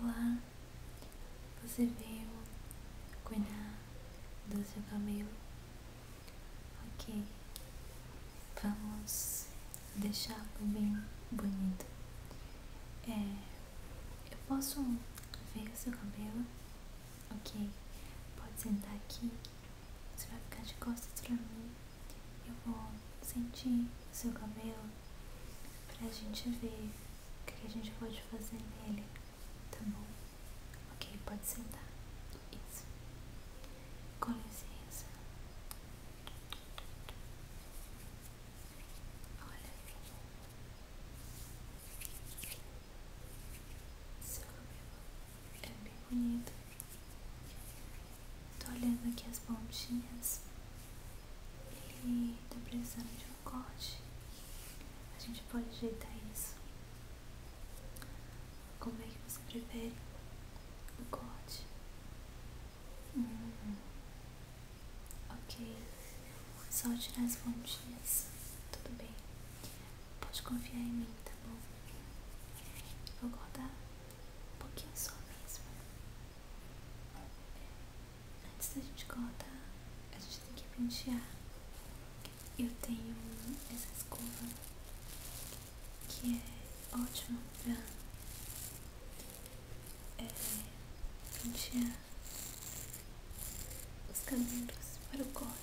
Olá, você veio cuidar do seu cabelo? Ok, vamos deixar lo bem bonito. É, eu posso ver o seu cabelo? Ok, pode sentar aqui. Você vai ficar de costas pra mim. Eu vou sentir o seu cabelo pra gente ver o que a gente pode fazer nele. Tá bom? Ok, pode sentar. Isso. Com licença. Olha. Seu cabelo é bem bonito. Tô olhando aqui as pontinhas. Ele tá precisando de um corte. A gente pode ajeitar isso. Como é que você prefere o corte? Hum. Ok. Só tirar as pontinhas. Tudo bem. Pode confiar em mim, tá bom? Vou guardar um pouquinho só mesmo. É, antes da gente cortar, a gente tem que pentear. Eu tenho essa escova que é ótima pra é, pentear os cabelos para o corte.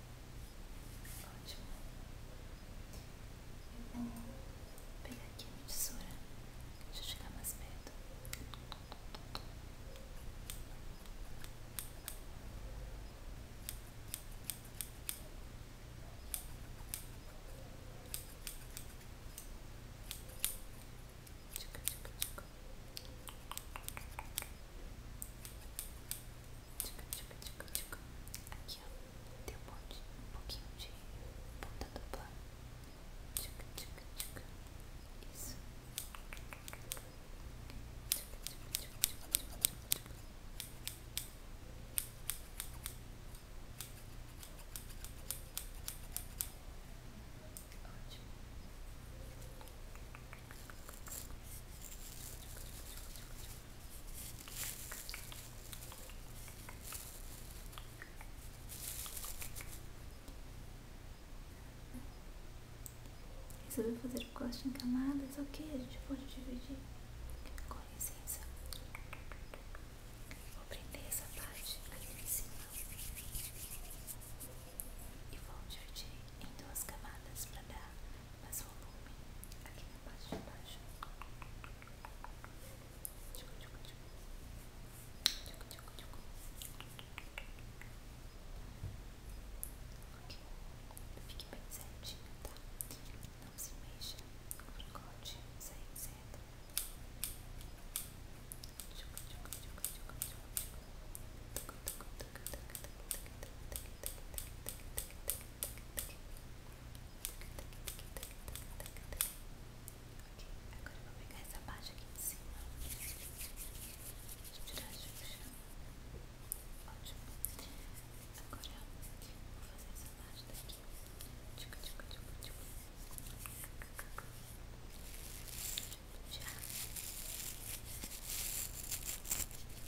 Ótimo. Eu vou pegar aqui a minha tesoura. Deixa eu chegar mais perto. Tchica, tchica, tchica. Tchica, tchica, tchica, tchica. Aqui, ó. Tem um monte, um pouquinho de ponta dupla. Tchuca, tchuca, tchuca. Isso. Ótimo. Ótimo. Resolveu fazer o corte em camadas, ok, a gente pode dividir. Com licença. Vou prender essa parte aqui em cima. E vou dividir em duas camadas para dar mais volume aqui na parte de baixo. Tchucu, tchucu, tchucu. Tchucu, tchucu, tchucu. Ok, fique bem certinho, tá? Não se mexa, o brincote sai certo. Tchucu, tchucu, tchucu, tchucu, tchucu, tchucu. Tucu, tucu. Agora vou pegar essa parte aqui de cima. Deixa eu tirar a xuxa. Ótimo. Agora vou fazer essa parte daqui. Tchica, tchica, tchica, tchica. Deixa eu puxar. Agora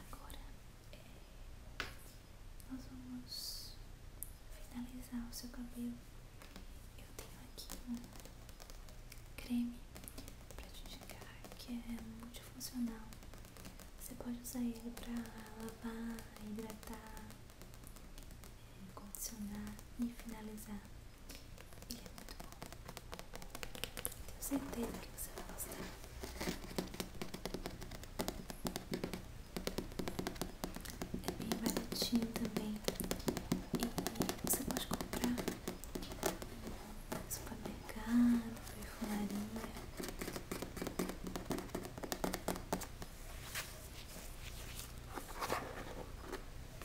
Agora é, vamos finalizar o seu cabelo. Eu tenho aqui um creme para te indicar que é multifuncional. Você pode usar ele para lavar, hidratar, condicionar e finalizar. Ele é muito bom. Tenho certeza que você vai gostar. É bem baratinho também. E você pode comprar no supermercado, perfumaria.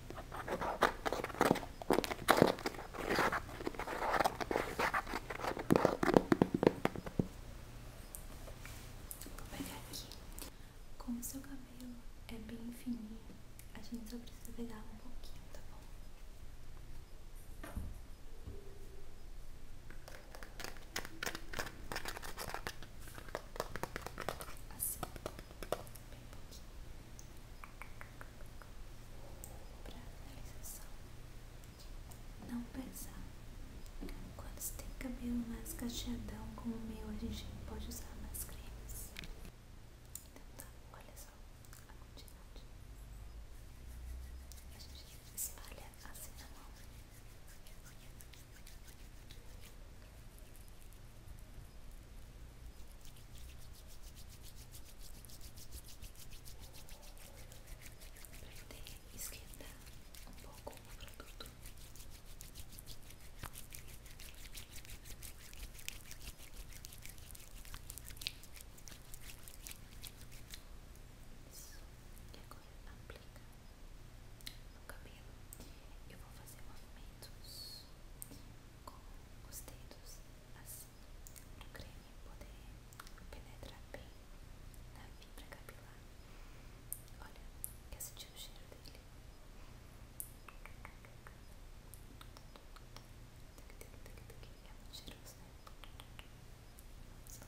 Vou pegar aqui. Como seu cabelo é bem fininho, a gente só precisa pegar um pouquinho, tá bom? Assim bem pouquinho para finalização não pesar quando você tem cabelo mais cacheadão como o meu, a gente pode usar mais cremes então tá, olha só a quantidade a gente espalha assim na mão Prender, esquentar um pouco o produto. Isso. E agora aplica no cabelo, eu vou fazer movimentos com os dedos assim, para o creme poder penetrar bem na fibra capilar. Olha, quer sentir o cheiro dele? É muito cheiroso, né? Vamos lá.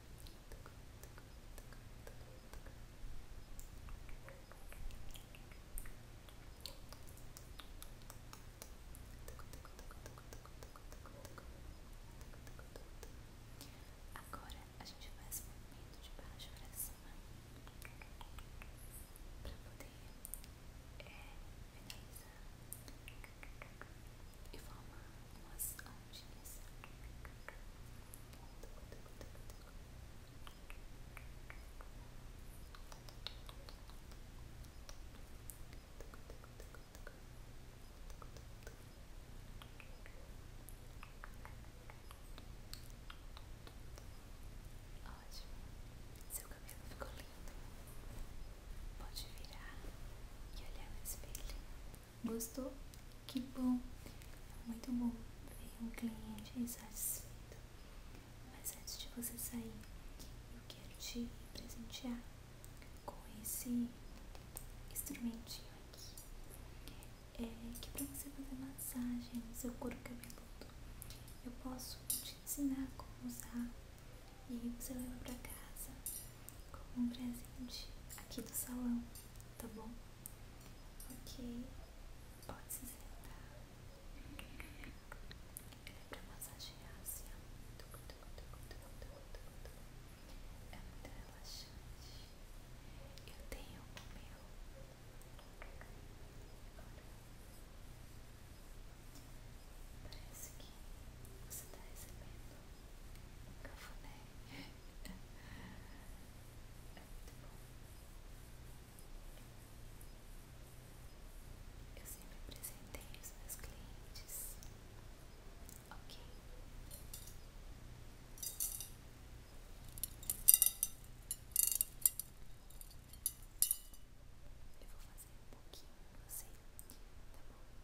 Agora a gente faz um movimento de baixo para cima para poder é, e formar umas ondinhas. Ótimo, seu cabelo ficou lindo. Pode virar e olhar no espelho. Gostou? Que bom! Muito bom ver um cliente satisfeito. Mas antes de você sair, eu quero te presentear com esse instrumentinho aqui. É que é pra você fazer massagem no seu couro cabeludo. Eu posso te ensinar como usar. E você leva pra casa como um presente aqui do salão, tá bom? Ok, pode se sentar. Ele É pra massagear assim, É muito relaxante. Eu tenho o meu. Parece que você está recebendo Cafuné. Eu sempre apresentei os meus clientes. Ok. Eu vou fazer um pouquinho em você, tá bom?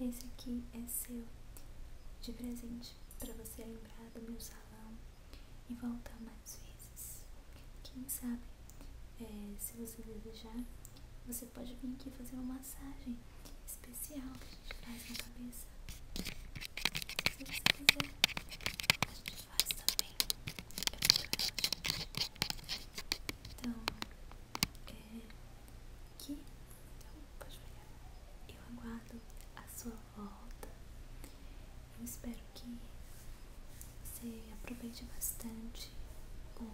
Esse aqui é seu de presente para você lembrar do meu salão e voltar mais vezes. Quem sabe, é, se você desejar, você pode vir aqui fazer uma massagem especial que a gente faz na cabeça. Se você quiser, a gente faz também Então, é, aqui, então, pode pegar Eu aguardo a sua volta Eu espero que você aproveite bastante o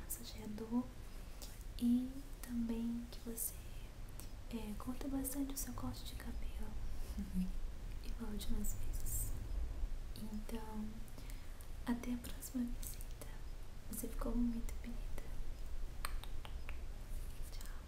massageador E também que você é, corta bastante o seu corte de cabelo e de umas vezes. Então, até a próxima visita. Você ficou muito bonita. Tchau.